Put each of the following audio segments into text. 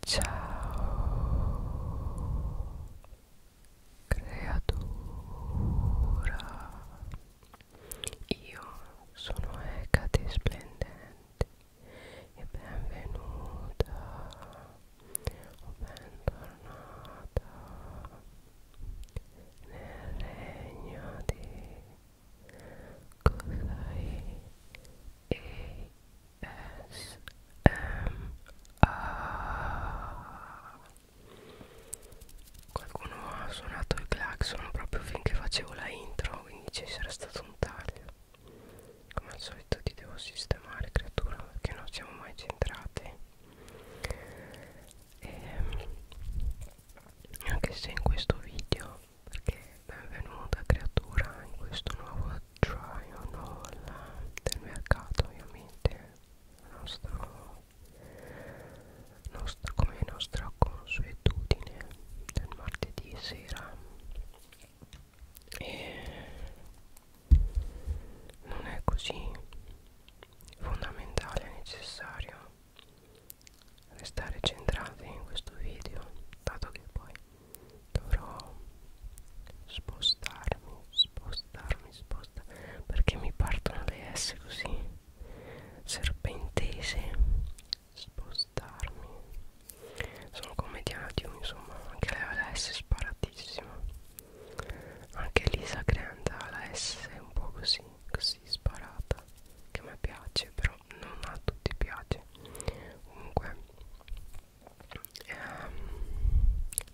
Ciao creatura Io sono Ecate Splendente e benvenuta o bentornata nel regno di Cosai e S M A Qualcuno ha suonato il clacson proprio finché facevo la intro Quindi ci sarà stato un taglio Come al solito ti devo sistemare creatura Perché non siamo mai centrati e ehm, anche se in questo video perché benvenuta creatura in questo nuovo try on all del mercato ovviamente la nostra, nostra, come nostra consuetudine del martedì sera e non è così fondamentale e necessario restare centrati in questo video dato che poi dovrò spostarmi spostarmi spostarmi perché mi partono le S così serpentese spostarmi sono come Dianatium insomma anche lei ha la S sparatissima anche Lisa Granda ha la S un po' così così sparata che a me piace però non a tutti piace comunque ehm,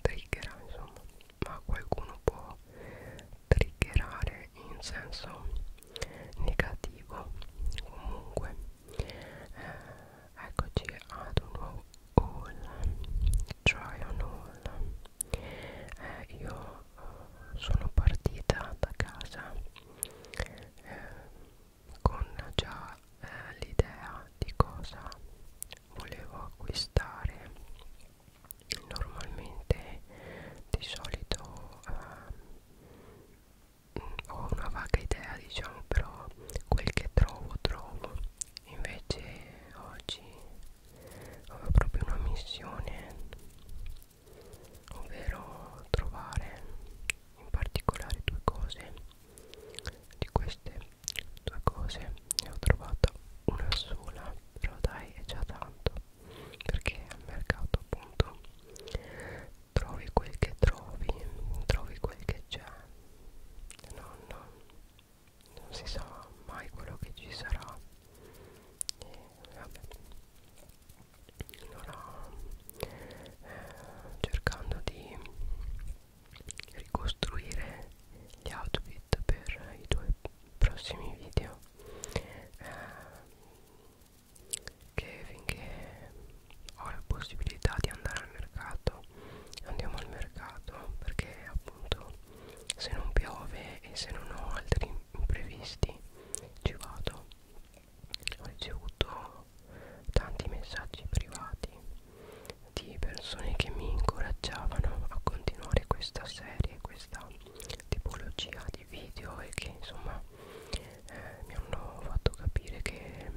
triggera insomma ma qualcuno può triggerare in senso negativo comunque eh, eccoci ad un nuovo haul try on haul eh, io eh, sono partita da casa eh, con già eh, l'idea di cosa volevo acquistare normalmente di solito eh, ho una vaga idea diciamo però quel che trovo trovo invece oggi ho proprio una missione ovvero trovare in particolare due cose di queste due cose ne ho trovata una sola però dai è già tanto perché al mercato appunto trovi quel che trovi trovi quel che c'è non, non si sa mai quello che ci sarà e vabbè allora eh, cercando di ricostruire gli outfit per i tuoi prossimi video eh, che finché ho la possibilità di andare al mercato andiamo al mercato perché appunto se non piove e se non ho altri imprevisti ci vado ho ricevuto ricevo tanti messaggi privati di persone che mi incoraggiavano a continuare questa serie, questa tipologia di video e che insomma eh, mi hanno fatto capire che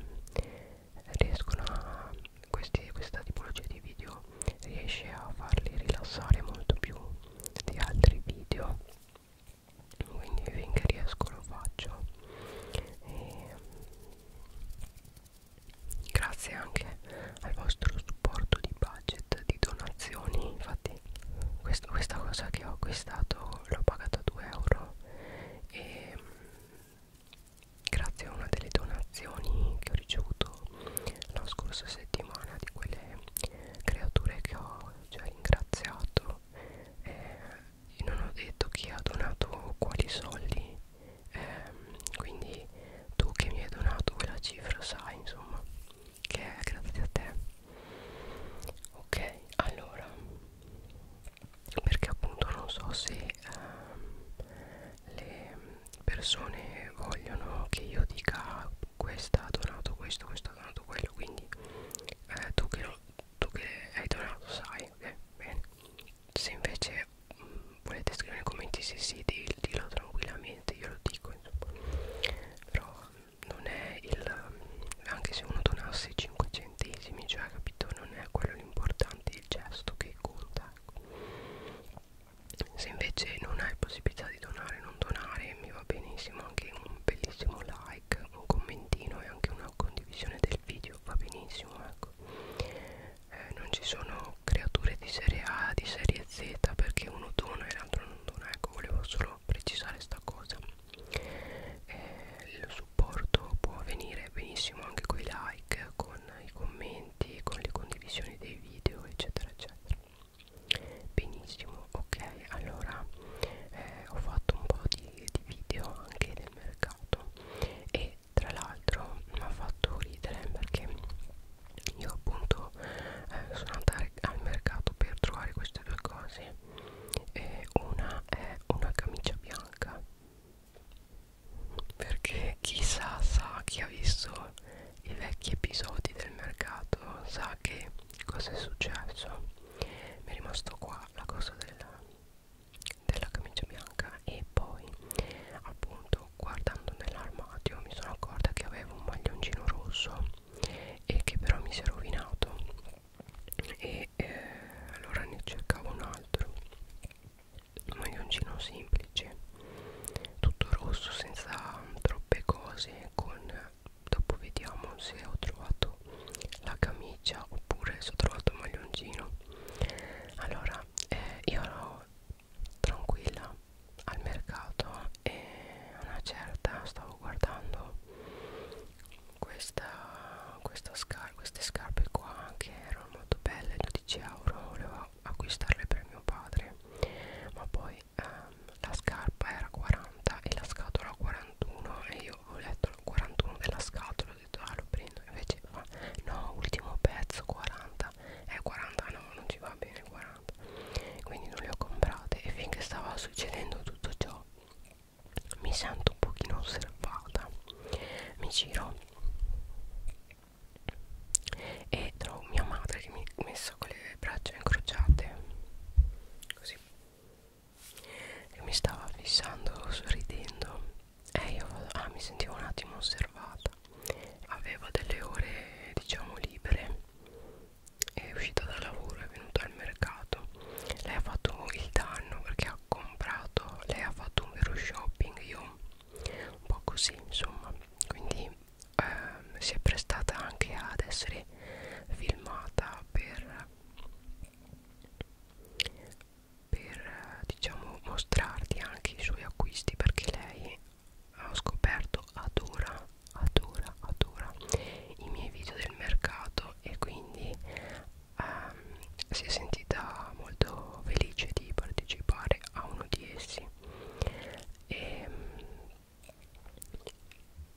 riescono a questi, questa tipologia di video riesce a farli rilassare molto più di altri video quindi finché riesco lo faccio e grazie anche al vostro supporto di budget di donazioni infatti quest questa cosa che ho acquistato l'ho pagata 2 euro e mm, grazie a una delle donazioni che ho ricevuto la scorsa settimana di quelle creature che ho già ringraziato eh, io non ho detto chi ha donato quali soldi ehm, quindi tu che mi hai donato quella cifra sai insomma che è grazie a te ok allora perché appunto non so se ehm, le persone vogliono che io dica questa ha donato questo questo ha donato quello quindi eh, tu, che lo, tu che hai donato sai ok bene se invece mh, mm, volete scrivere nei commenti se sì, sì dillo tranquillamente io lo dico insomma però mm, non è il mm, anche se uno donasse 5 centesimi cioè capito non è quello l'importante il gesto che conta ecco. se invece non hai possibilità di donare non donare mi va benissimo anche un bellissimo like un commentino e anche una condivisione del video va benissimo eh ecco eh, non ci sono creature di serie A di serie Z perché uno dona e l'altro non dona ecco volevo solo precisare sta cosa eh, il supporto può avvenire benissimo anche con i like con i commenti con le condivisioni dei video eccetera eccetera benissimo ok allora eh, ho fatto un po' di, di video anche del mercato e tra l'altro mi ha fatto ridere perché io appunto eh, sono andata al mercato per trovare queste due cose e una è una camicia bianca perché chissà sa chi ha visto i vecchi episodi del mercato sa che cosa è successo mi è rimasto qua la cosa del della camicia bianca e poi appunto guardando nell'armadio mi sono accorta che avevo un maglioncino rosso e che però mi si è rovinato e eh, allora ne cercavo un altro un maglioncino semplice tutto rosso senza troppe cose con dopo vediamo se ho trovato la camicia oppure se ho trovato il maglioncino allora eh, io ero tranquilla al mercato e una certa stavo guardando questa, questa scar queste scarpe qua che erano molto belle 12 euro volevo acquistarle per mio padre ma poi ehm, la scarpa era 40 e la scatola 41 e io ho letto il 41 della scatola ho detto ah lo prendo invece va no ultimo pezzo 40 eh 40 no non ci va bene 40 quindi non le ho comprate e finché stava succedendo tutto ciò mi sento un pochino osservata mi giro e trovo mia madre che mi ha messo con le braccia incrociate così che mi stava fissando sorridendo eh io vado, ah, mi sentivo un attimo osservata avevo delle ore diciamo libere è uscita dal lavoro è venuta al mercato lei ha fatto il danno perché ha comprato lei ha fatto un vero shopping io un po' così insomma quindi ehm, si è prestata anche ad essere filmata per per diciamo mostrarti anche i suoi acquisti perché lei ho scoperto adora adora adora i miei video del mercato e quindi ehm, si è sentita molto felice di partecipare a uno di essi e ehm,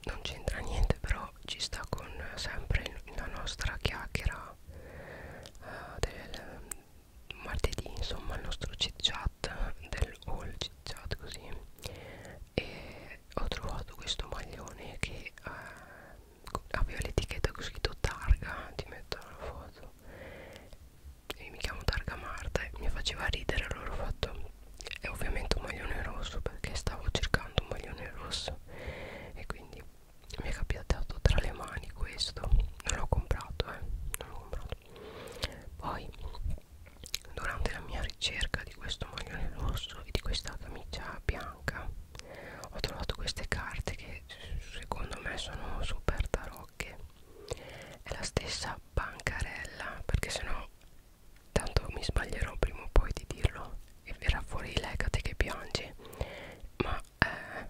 non c'entra niente però ci sta con sempre la nostra chiacchiera uh, del mm, martedì insomma il nostro chit chat del all chit chat così e ho trovato questo maglione che uh, aveva l'etichetta con scritto targa ti metto la foto e mi chiamo targa Marta e mi faceva ridere allora ho fatto è ovviamente un maglione rosso perché stavo cercando un maglione rosso e quindi mi è capitato tra le mani questo non l'ho comprato eh non l'ho comprato poi durante la mia ricerca di questo maglione rosso e di questa camicia bianca ho trovato queste carte che secondo me sono super tarocche è la stessa bancarella perché sennò tanto mi sbaglierò prima o poi di dirlo e verrà fuori l'ecate che piange ma eh,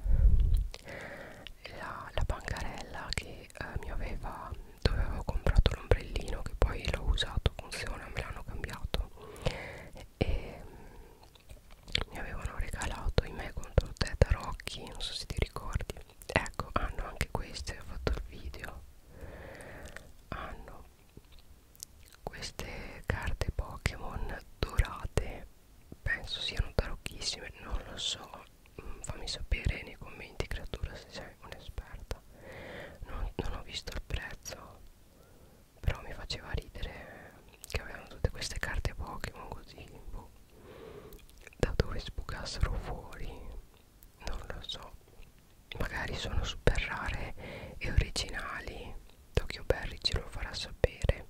la, la bancarella che eh, mi aveva dove avevo comprato l'ombrellino che poi l'ho usato funziona me l'hanno cambiato e, e mm, mi avevano regalato i me contro te tarocchi non so se ti ricordi ecco hanno anche queste ho fatto il video hanno queste carte Pokémon dorate penso siano tarocchissime non lo so mm, fammi sapere nei commenti creatura se sei un'esperta non, non ho visto il prezzo però mi faceva ridere che avevano tutte queste carte Pokémon così boh. da dove sbucassero fuori non lo so magari sono super rare e originali Tokyo Berry ce lo farà sapere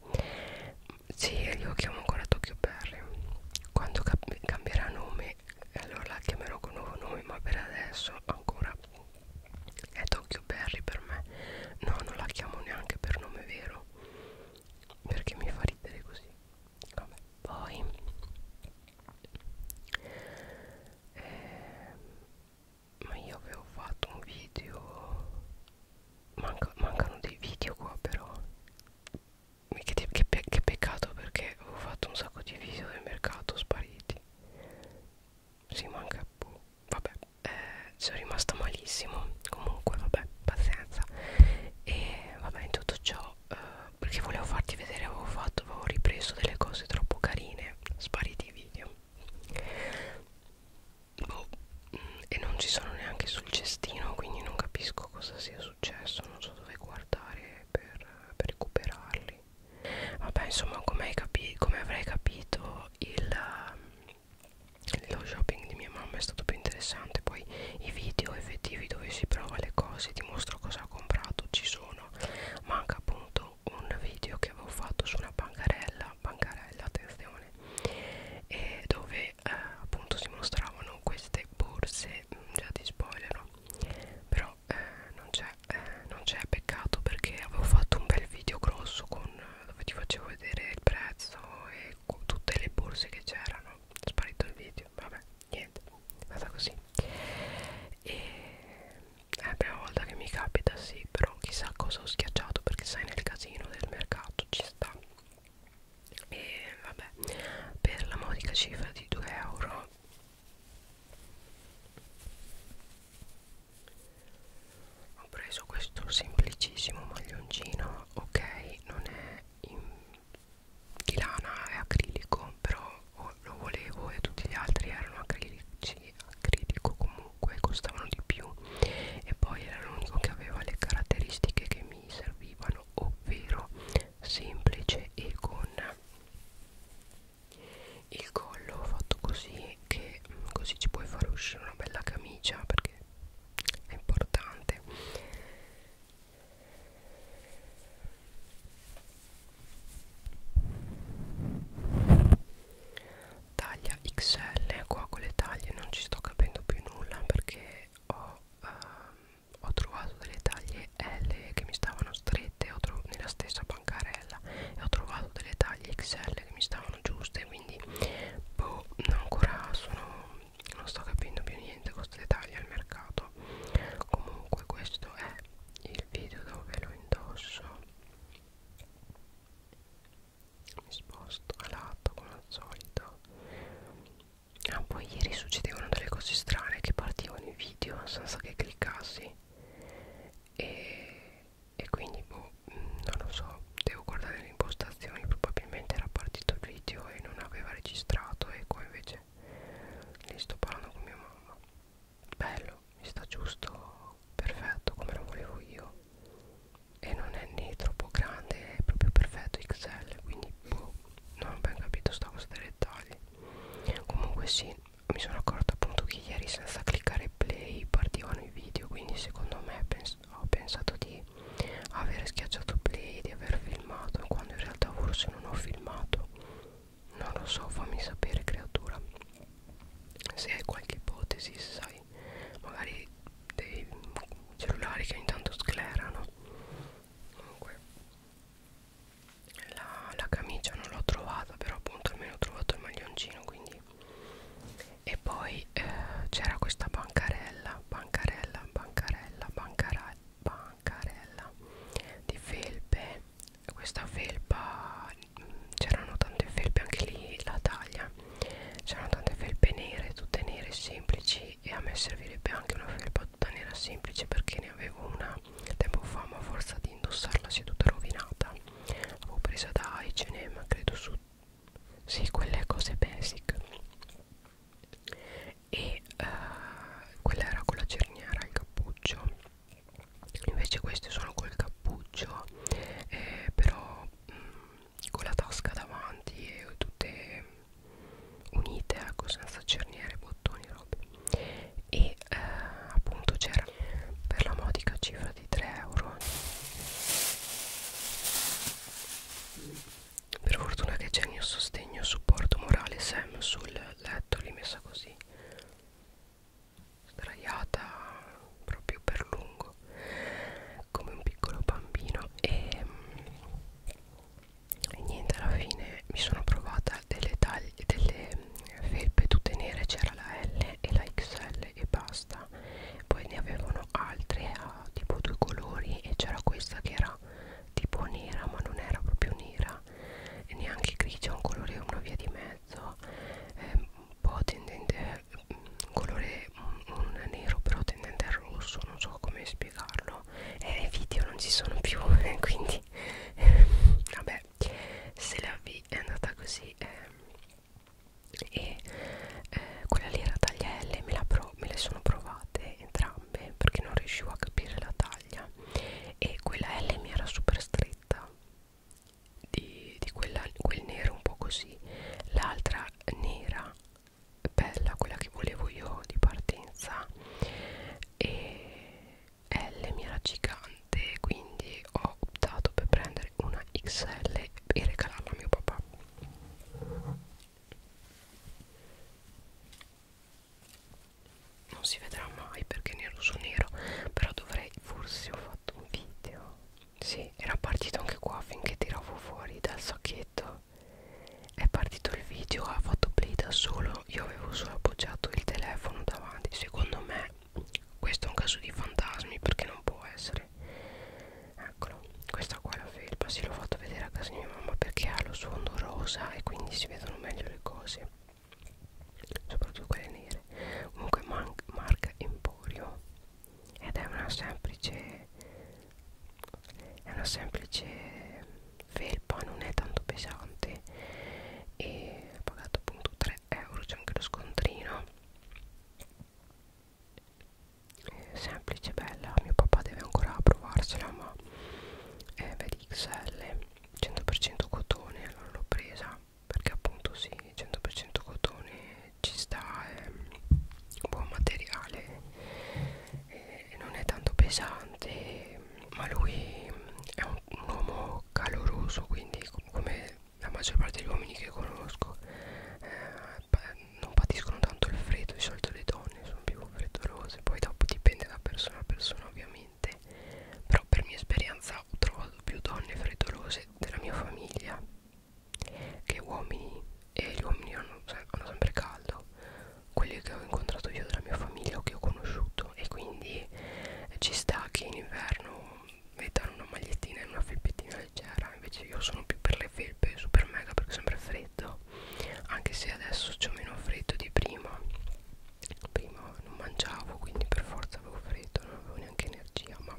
sì io chiamo ancora Tokyo Berry quando cambierà nome eh, allora la chiamerò con nuovo nome ma per adesso ancora è Tokyo Berry per me no non la chiamo neanche per nome vero perché mi fa ridere così Vabbè. poi eh, ma io avevo fatto un video Manca, mancano dei video qua però che, che, pe che peccato perché ho fatto un sacco di video del mercato spariti si manca boh, vabbè eh, sono rimasta malissimo comunque vabbè pazienza e vabbè in tutto ciò eh, perché volevo farti vedere avevo fatto avevo ripreso delle cose troppo carine spariti i video boh, e non ci sono neanche sul cestino quindi non capisco cosa sia successo non so dove guardare per, per recuperarli vabbè insomma come capi com avrei capito il, lo shopping di mia mamma è stato più interessante poi i video effettivi dove si prova le cose ti mostro cosa ha comprato ci sono manca appunto un video che avevo fatto su una bancarella bancarella attenzione e dove eh, appunto si mostravano queste borse mm, già di spoiler però eh, non c'è eh, peccato perché avevo fatto un bel video grosso con, dove ti facevo vedere il prezzo e tutte le borse che c'erano sparito il video vabbè niente vada così e è la prima volta che mi capita sì però chissà cosa ho schiacciato perché sai nel casino del mercato ci sta e vabbè per la modica cifra di 2 euro ho preso questo semplicissimo maglioncino ok non è in, di lana è acrilico però lo volevo e tutti gli altri erano acrilici acrilico comunque comunque costavano di più e poi era l'unico che aveva le caratteristiche che mi servivano ovvero semplice e con il collo fatto così che mm, così ci puoi far uscire una bella camicia perché è importante taglia XL qua con le taglie non ci sto capendo più nulla perché ho, um, ho trovato delle taglie L che mi stavano strette ho nella stessa bancarella e ho trovato delle taglie XL che mi stavano giuste quindi boh ancora sono non sto capendo più niente con queste taglie al mercato comunque questo è il video dove lo indosso mi sposto a lato come al solito ah poi ieri succedevano delle cose strane che partivano i video senza che cliccassi e, e quindi boh mm, non lo so devo guardare le impostazioni probabilmente era partito il video e non aveva registrato e qua invece lì sto parlando con mia mamma bello mi sta giusto perfetto come lo volevo io e non è né troppo grande è proprio perfetto XL quindi boh, non ho ben capito sta cosa dei dettagli comunque sì mi sono accorto appunto che ieri senza cliccare play partivano i video quindi secondo me pens ho pensato di aver schiacciato play di aver filmato quando in realtà forse non ho filmato non lo so fammi sapere creatura se hai qualche ipotesi sai nuovi magari dei cellulari che ogni tanto sclerano comunque la, la camicia non l'ho trovata però appunto almeno ho trovato il maglioncino quindi e poi eh, c'era questa bancarella bancarella bancarella bancarella bancarella di felpe questa felpa mm, c'erano tante felpe anche lì la taglia c'erano tante felpe nere tutte nere semplici e a me servirebbe anche una felpa tutta nera semplice perché ne avevo una tempo fa ma a forza di indossarla si è tutta rovinata l'avevo presa da H&M credo su sì quelle cose basic e uh, quella era con la cerniera il cappuccio invece queste sono col cappuccio eh, però mh, mm, con la tasca davanti e tutte unite ecco senza cerniere bottoni robe e eh, appunto c'era per la modica cifra di 3 euro per fortuna che c'è il mio sostegno supporto morale Sam sul letto l'ho messa così sdraiata proprio per lungo come un piccolo bambino e, e niente alla fine mi sono provata delle taglie delle mm, felpe tutte nere c'era la L e la XL e basta poi ne avevano altre a tipo due colori e c'era questa che era tipo nera ma non era proprio nera e neanche grigia un colore una via di mezzo eh, un po' tendente un colore un, un nero però tendente al rosso non so come spiegarlo e eh, i video non ci sono più quindi vabbè se la vi è andata così eh, e eh, quella lì era taglia L me, la pro, me le sono provate entrambe perché non riuscivo a capire la taglia e quella L mi era super stretta di, di quella, quel nero un po' così l'altra nera bella quella che volevo io di partenza e L mi era gigante quindi ho optato per prendere una XL e regalarla a mio papà non si vedrà mai perché nero su nero però dovrei forse ho fatto un video sì era partito anche qua finché tiravo fuori dal sacchetto è partito il video ha fatto play da solo io avevo solo appoggiato il telefono davanti secondo me questo è un caso di fantasmi perché non può essere eccolo questa qua è la felpa si l'ho fatto vedere a casa di mia mamma perché ha lo sfondo rosa e quindi si vedono meglio le cose soprattutto quelle nere comunque marca Emporio ed è una semplice è una semplice felpa non è tanto pesante e ho pagato appunto 3 euro c'è anche lo scontrino è semplice bella mio papà deve ancora provarsela ma è vedi XL 100% cotone allora l'ho presa perché appunto sì 100% cotone ci sta è ehm, buon materiale e non è tanto pesante ma lui è un, un uomo caloroso quindi come la maggior parte degli uomini che conosco eh, non patiscono tanto il freddo di solito le donne sono più freddolose poi dopo dipende da persona a persona ovviamente però per mia esperienza ho trovato più donne freddolose della mia famiglia che uomini e gli uomini hanno, hanno sempre caldo quelli che ho incontrato io della mia famiglia o che ho conosciuto e quindi eh, ci sta che in inverno mettano una magliettina e una felpettina leggera invece io sono più per le felpe super mega perché è sempre freddo anche se adesso ho meno freddo di prima prima non mangiavo quindi per forza avevo freddo non avevo neanche energia ma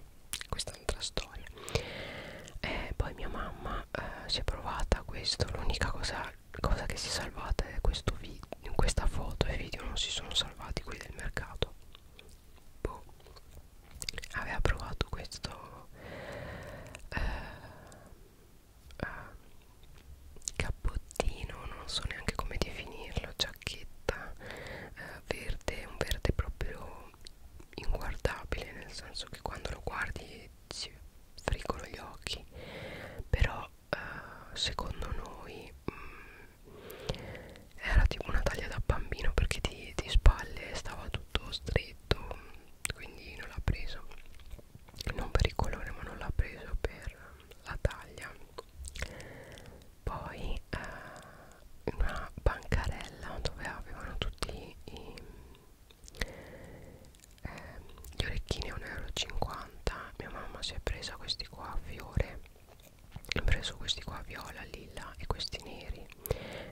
questa è un'altra storia eh, poi mia mamma eh, si è provata a questo l'unica cosa, cosa che si è salvata è questo video in questa foto e video non si sono salvati quelli del mercato boh. aveva provato questo eh, eh, cappottino non so neanche come definirlo giacchetta eh, verde un verde proprio inguardabile nel senso che quando lo guardi si friggono gli occhi però eh, secondo noi mh, mm, era tipo una taglia da bambino perché di, di spalle stava tutto stretto quindi non l'ha preso non per il colore ma non l'ha preso per la taglia poi eh, una bancarella dove avevano tutti i eh, gli orecchini 1,50 euro mia mamma si è presa questi qua a fiore ha preso questi qua viola, lilla e questi neri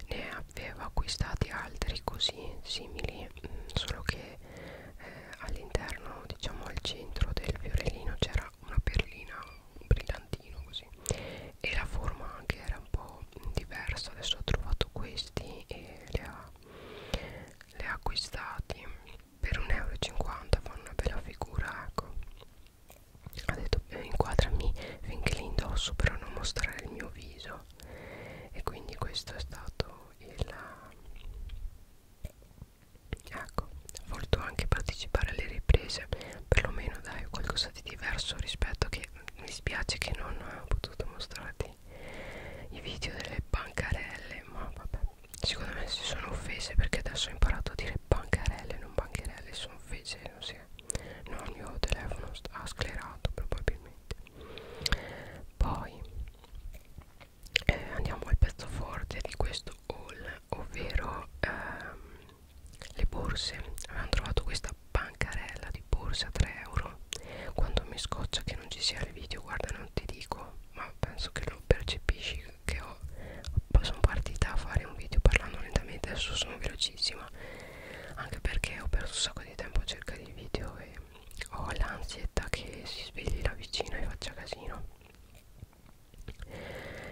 ne aveva acquistati altri così simili mm, solo che eh, all'interno diciamo al centro del fiorellino c'era una perlina un brillantino così e la forma anche era è un po' diverso adesso ho trovato questi e li ha, li ha acquistati per 1,50 euro fanno una bella figura ecco ha detto eh, inquadrami finché li indosso però non mostrare il mio viso e quindi questo è stato il ecco ho voluto anche partecipare alle riprese perlomeno dai qualcosa di diverso rispetto che mi spiace che non ho potuto mostrarti i video delle bancarelle ma vabbè secondo me si sono offese perché adesso ho imparato a dire bancarelle non bancherelle sono offese non si è no il mio telefono ha sclerato probabilmente poi eh, andiamo al pezzo forte di questo haul ovvero ehm, le borse avevamo trovato questa pancarella di borsa a 3 euro quando mi scoccia che non ci sia il video guarda non ti dico ma penso che lo percepisci che ho sono partita a fare un video parlando lentamente adesso sono velocissima anche perché ho perso un sacco di tempo a cercare il video e ho l'ansietà che si svegli la vicina e faccia casino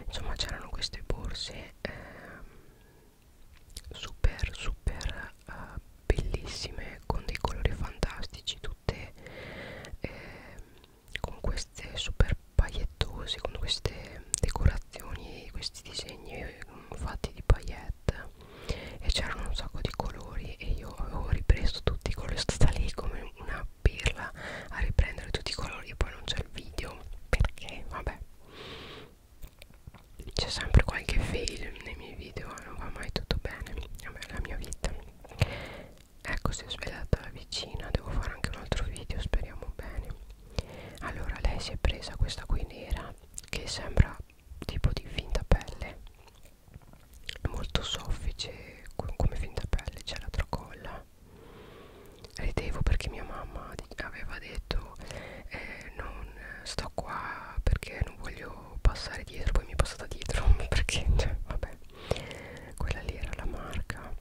insomma c'erano queste borse ehm, super super uh, bellissime con dei colori fantastici tutte eh, con queste super paillettose con queste decorazioni questi disegni mm, fatti di paillette e c'erano un sacco di colori e io avevo ripreso tutti i colori stata lì come una pirla a riprendere tutti i colori e poi non c'è il video perché vabbè c'è sempre qualche fail nei miei video eh, non va mai tutto bene Vabbè, è la mia vita ecco si è svegliata la vicina devo fare anche un altro video speriamo bene allora lei si è presa questa qui nera che sembra tipo di finta pelle è molto soffice come finta pelle c'è la tracolla ridevo perché mia mamma aveva detto io eh, non sto qua perché non voglio passare dietro poi mi è passata dietro perché cioè, vabbè quella lì era la marca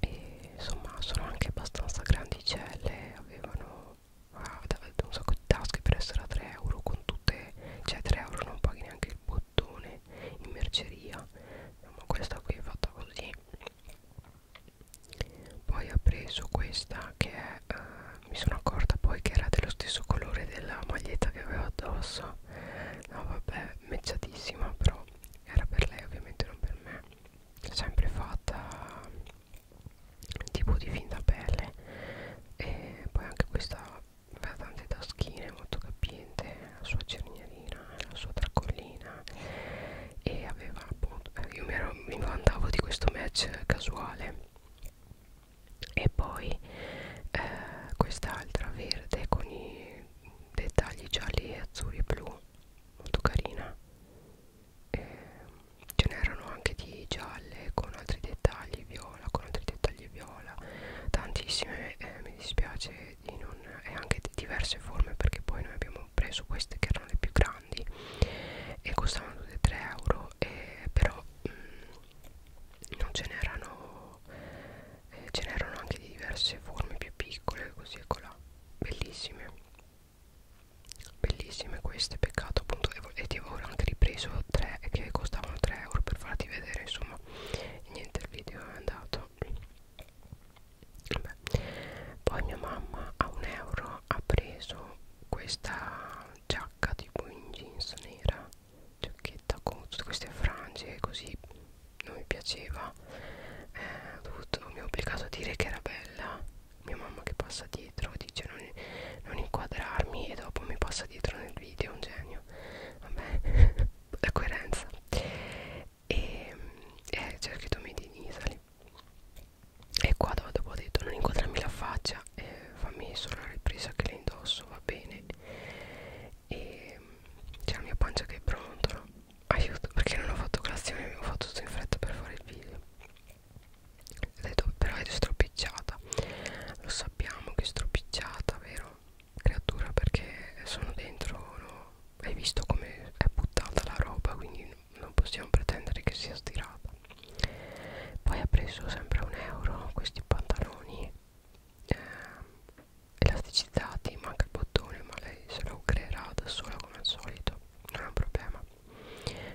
e insomma sono anche abbastanza grandicelle avevano ah, un sacco di tasche per essere a 3 euro con tutte cioè 3 euro non paghi neanche il bottone in merceria ma questa qui è fatta così poi ha preso questa che è eh, mi sono accorta poi che era dello stesso colore della maglietta che avevo addosso no vabbè mecciatissima però era per lei ovviamente non per me sempre fatta tipo di finta pelle e poi anche questa ha tante taschine molto capiente la sua cernialina la sua tracollina e aveva appunto eh, io mi, ero, mi vantavo di questo match casuale e poi eh, quest'altra verde con i dettagli gialli e azzurri e blu molto carina eh, ce n'erano anche di gialle con altri dettagli viola con altri dettagli viola tantissime eh, mi dispiace di non e anche di diverse forme perché poi noi abbiamo preso queste che erano le più grandi grandi e costavano 3 euro e però mh, mm, non ce n'erano eh, ce n'erano anche di diverse forme più piccole così e colà bellissime bellissime queste peccato appunto e, e ti avevo anche ripreso 3 che costavano 3 euro per farti vedere insomma niente il video è andato Vabbè. poi mia mamma a un euro ha preso questa giacca tipo in jeans nera giacchetta con tutte queste frange così non mi piaceva eh, ho dovuto, mi ha obbligato a dire che era bella mia mamma che passa dietro dice non, non inquadrarmi e dopo mi passa dietro nel video un genio vabbè la coerenza e eh, cerchiato made in Italy e qua dopo ho detto non inquadrarmi la faccia eh, fammi solo la ripresa che le indosso va bene e c'è la mia pancia che è pronta aiuto perché non ho fatto colazione ho fatto tutto in fretta per fare il video ho detto però è stropicciata lo sappiamo che è stropicciata vero creatura perché sono dentro no? hai visto come è buttata la roba quindi non possiamo pretendere che sia stirata poi ha preso sempre un euro questi pantaloni eh, elasticizzati manca il bottone ma lei se lo creerà da sola come al solito non è un problema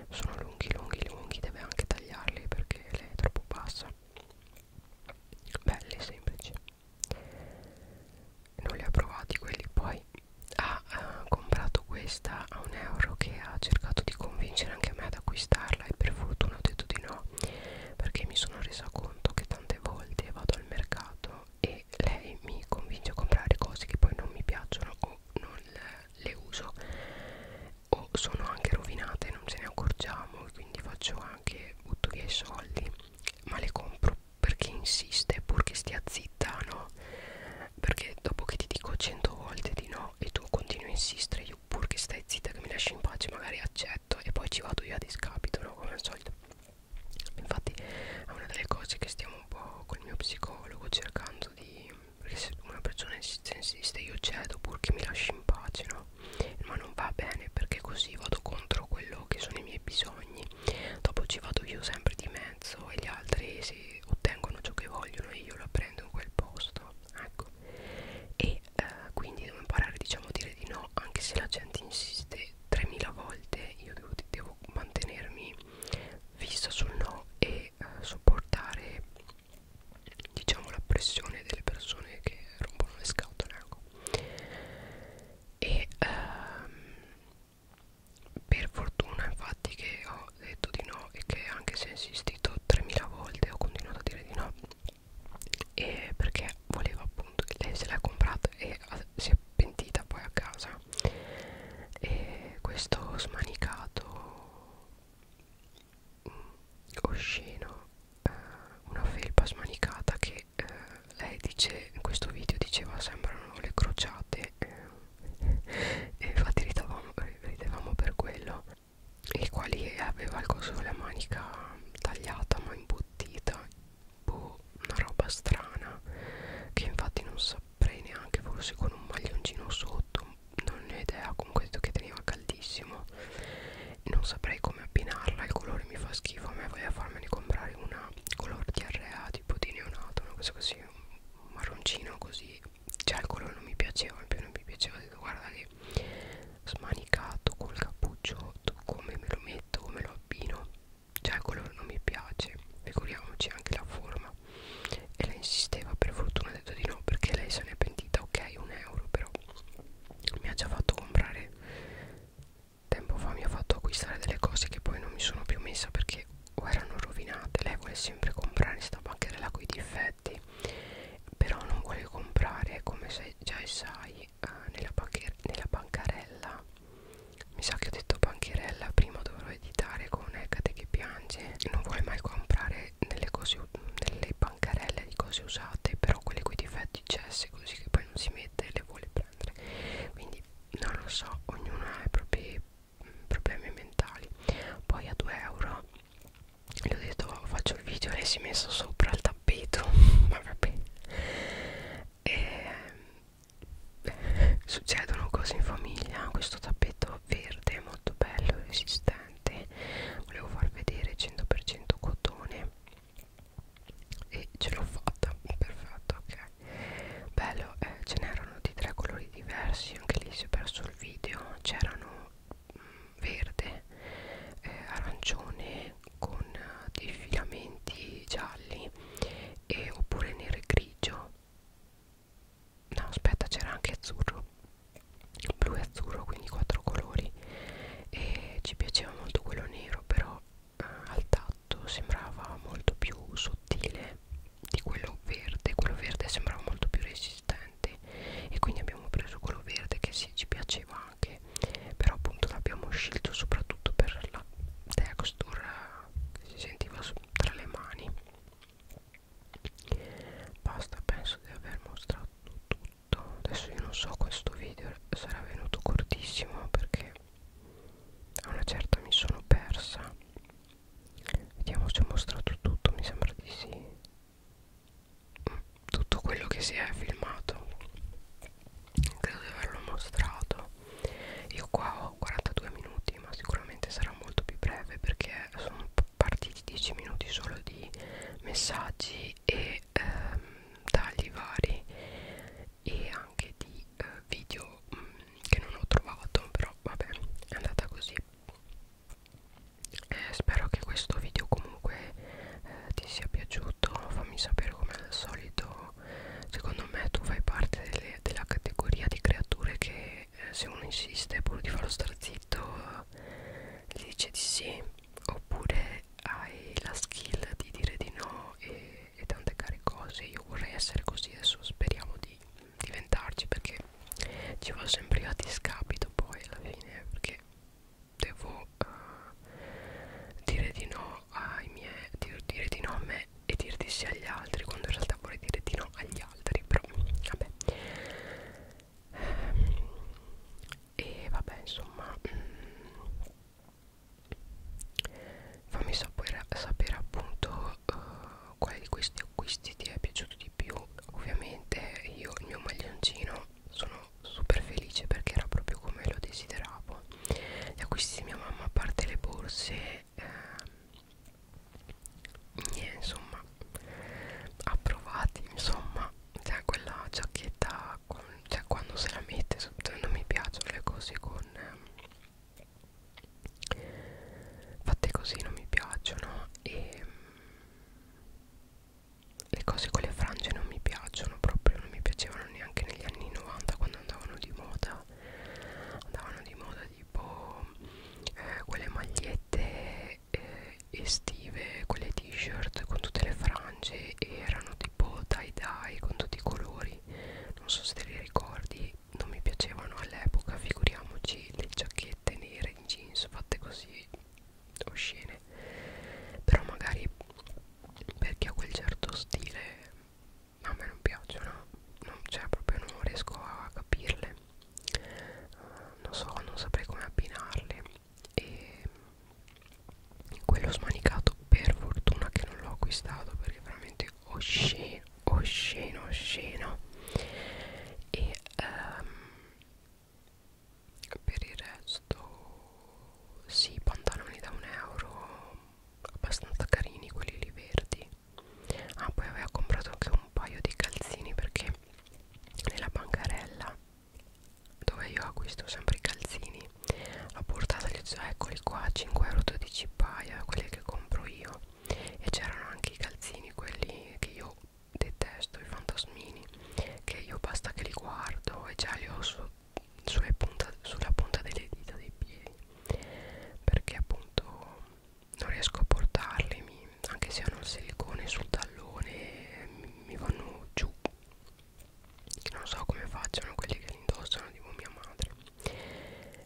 sono lunghi lunghi lunghi deve anche tagliarli perché lei è troppo bassa belli semplici non li ha provati quelli poi ha eh, comprato questa a un euro che ha cercato di convincere anche me ad acquistarla e per fortuna ho detto di no perché mi sono resa conto che tante volte vado al mercato e lei mi convince a comprare cose che poi non mi piacciono o non le uso o sono anche rovinate non ce ne accorgiamo quindi faccio anche butto via i soldi ma le compro perché insiste purché stia zitta zitta, no? Perché dopo che ti dico cento volte di no e tu continui a insistere, io pur che stai zitta, che mi lasci in pace, magari accetto e poi ci vado io a discapito, no? Come al solito. Infatti è una delle cose che stiamo un po' con il mio psicologo cercando di... Perché se una persona insiste, insiste, io cedo pur che mi lasci in pace, no? Ma non va bene perché così vado contro quello che sono i miei bisogni. Dopo ci vado io sempre di me mezzo e gli altri si ottengono ciò che vogliono e io lo prendo in quel posto ecco e eh, quindi devo imparare diciamo a dire di no anche se la gente insiste 3000 volte io devo, devo mantenermi fissa sul no e eh, sopportare diciamo la pressione delle persone che rompono le scatole ecco. e ehm, per fortuna infatti che ho detto di no e che anche se ho insistito 3000 volte ho continuato a dire di no e perché voleva appunto che lei se l'ha comprata e si è pentita poi a casa e questo smanicato mm, osceno eh, una felpa smanicata che eh, lei dice in questo video diceva sembrano le crociate eh, e infatti ridavamo, ridevamo per quello il quale aveva il coso la manica tagliata ma imbottita boh, una roba strana che infatti non saprei neanche forse con un maglioncino sotto non ne ho idea comunque detto che teneva caldissimo non saprei come abbinarla il colore mi fa schifo a me voglio farmene comprare una color diarrea tipo di neonato una cosa così un marroncino così cioè il colore non mi piaceva in più non mi piaceva ho detto guarda che smanicato col cappuccio come me lo metto come lo abbino cioè il colore non mi piace figuriamoci anche la forma e lei insisteva per fortuna ha detto di no perché lei se ne è pentita ok un euro però mi ha già fatto comprare tempo fa mi ha fatto acquistare delle cose che poi non mi sono più messa perché o erano rovinate lei vuole sempre comprare sta bancherella con i difetti però non vuole comprare come se già sai eh, nella, nella bancarella mi sa che ho detto bancherella prima dovrò editare con Ecate che piange non vuole mai comprare nelle, cose, nelle bancarelle di cose usate però quelle con i difetti cesse così che poi non si mette e le vuole prendere quindi non lo so ognuno ha i propri problemi mentali poi a 2 euro gli ho detto oh, faccio il video e lei si è messa sopra al tappeto ma vabbè e, ehm, succedono cose in famiglia questo tappeto verde molto bello resistente volevo far vedere 100% cotone e ce l'ho fatta perfetto ok bello eh, ce n'erano di tre colori diversi anche lì si è perso sul video c'erano mm, verde eh, arancione con eh, dei filamenti gialli e, oppure nero e grigio no aspetta c'era anche azzurro blu e azzurro quindi quattro colori e ci piaceva molto quello nero però eh, al tatto sembrava molto più sottile di quello verde quello verde sembrava molto più resistente e quindi abbiamo preso quello verde che sì, ci piaceva anche però appunto l'abbiamo scelto soprattutto per la texture che si sentiva tra le mani basta penso di aver mostrato tutto adesso io non so questo video sarà venuto cortissimo perché a una certa mi sono persa Vediamo se ho mostrato tutto, mi sembra di sì. Mm, tutto quello che si è filmato. Credo di averlo mostrato. Io qua ho 42 minuti, ma sicuramente sarà molto più breve perché sono partiti 10 minuti solo di messaggi e ehm, tagli vari e anche di eh, video mh, mm, che non ho trovato, però vabbè, è andata così eh, spero che questo video comunque eh, ti sia piaciuto fammi sapere come al solito secondo me tu fai parte delle, della categoria di creature che eh, se uno insiste pur di farlo star zitto eh, gli dice di sì oppure hai la skill di dire di no e, e tante care cose io vorrei essere così adesso speriamo di diventarci perché ci va sempre a discapito poi alla fine perché devo uh, dire di no ai miei dir, dire di no a me e dire di sì agli altri quando in realtà vorrei dire di no agli altri però vabbè e vabbè insomma mm, fammi sapere, sapere appunto uh, quale di questi acquisti ti è piaciuto di più ovviamente io il mio maglioncino sono super felice perché era proprio come lo desideravo gli acquisti di mia mamma a parte le borse eh, insomma approvati insomma cioè quella giacchetta con, cioè quando se la mette non mi piacciono le cose con eh, fatte così non mi piacciono e ehm, le cose con le frange non mi piacciono proprio non mi piacevano neanche negli anni 90 quando andavano di moda andavano di moda tipo eh, quelle magliette eh, estive quelle t-shirt con tutte le frange erano tipo tie dye con tutti i colori non so se te li ricordi non mi piacevano all'epoca figuriamoci le giacchette nere mettere in jeans fatte così oscene però magari perché ha quel certo stile a me non piacciono non, cioè proprio non riesco a capirle uh, non so non saprei come abbinarle e quello smanicato per fortuna che non l'ho acquistato perché è veramente osceno osceno osceno e ehm, per il resto sì pantaloni da un euro abbastanza carini quelli lì verdi ah poi aveva comprato anche un paio di calzini perché nella bancarella dove io acquisto sempre i calzini l'ho portata e gli ho detto eccoli qua 5,12 euro paia quelli che compro io e c'erano anche i calzini quelli che io detesto i fantasmini che io basta che li guardo e già li ho su, punta, sulla punta delle dita dei piedi perché appunto non riesco a portarli mi, anche se hanno il silicone sul tallone mi, mi vanno giù non so come facciano quelli che li indossano tipo mia madre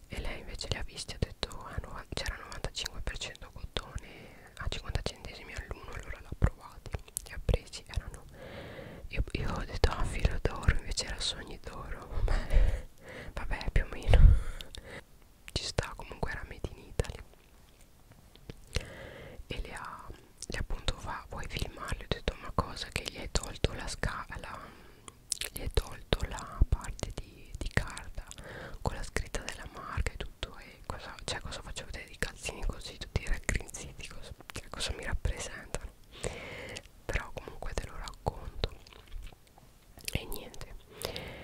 e lei invece li ha visti e ha detto ah, no, c'era 95% cotone a 50 centesimi all'uno allora l'ha provati li ha presi erano io, io ho detto ah filo d'oro invece era sogni d'oro vabbè più o meno ci sta comunque era made in Italy e le ha e appunto va vuoi filmarli ho detto ma cosa che gli hai tolto la scala gli hai tolto la parte di di, di carta con la scritta della marca e tutto e cosa, cioè cosa faccio vedere di calzini così tutti raggrinziti cosa, cioè cosa mi rappresentano però comunque te lo racconto e niente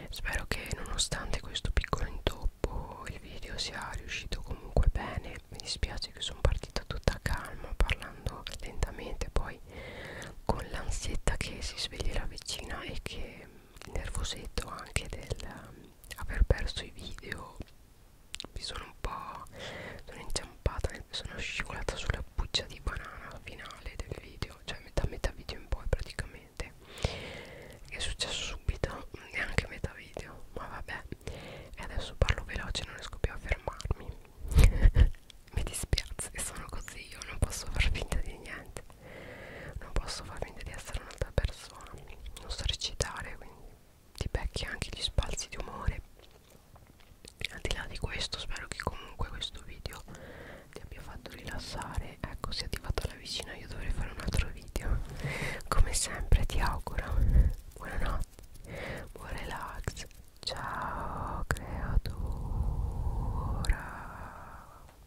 spero che nonostante questo piccolo intoppo il video sia riuscito comunque bene mi dispiace che sono partita tutta calma parlando lentamente poi con l'ansietta che si svegli la vicina e che nervosetto anche del ehm, aver perso i video mi sono un po' sono inciampata sono scivolata sulla buccia di banana finale del video cioè metà metà video in poi praticamente che è successo subito neanche metà video ma vabbè e adesso parlo veloce non riesco più a fermarmi mi dispiace sono così io non posso far finta di niente non posso far finta di essere un'altra persona non so recitare quindi ti becchi anche gli spalzi di umore al di là di questo spero che comunque questo video ti abbia fatto rilassare ecco se ti è fatto la vicina io dovrei fare un altro video come sempre ti auguro buonanotte buon relax ciao creatura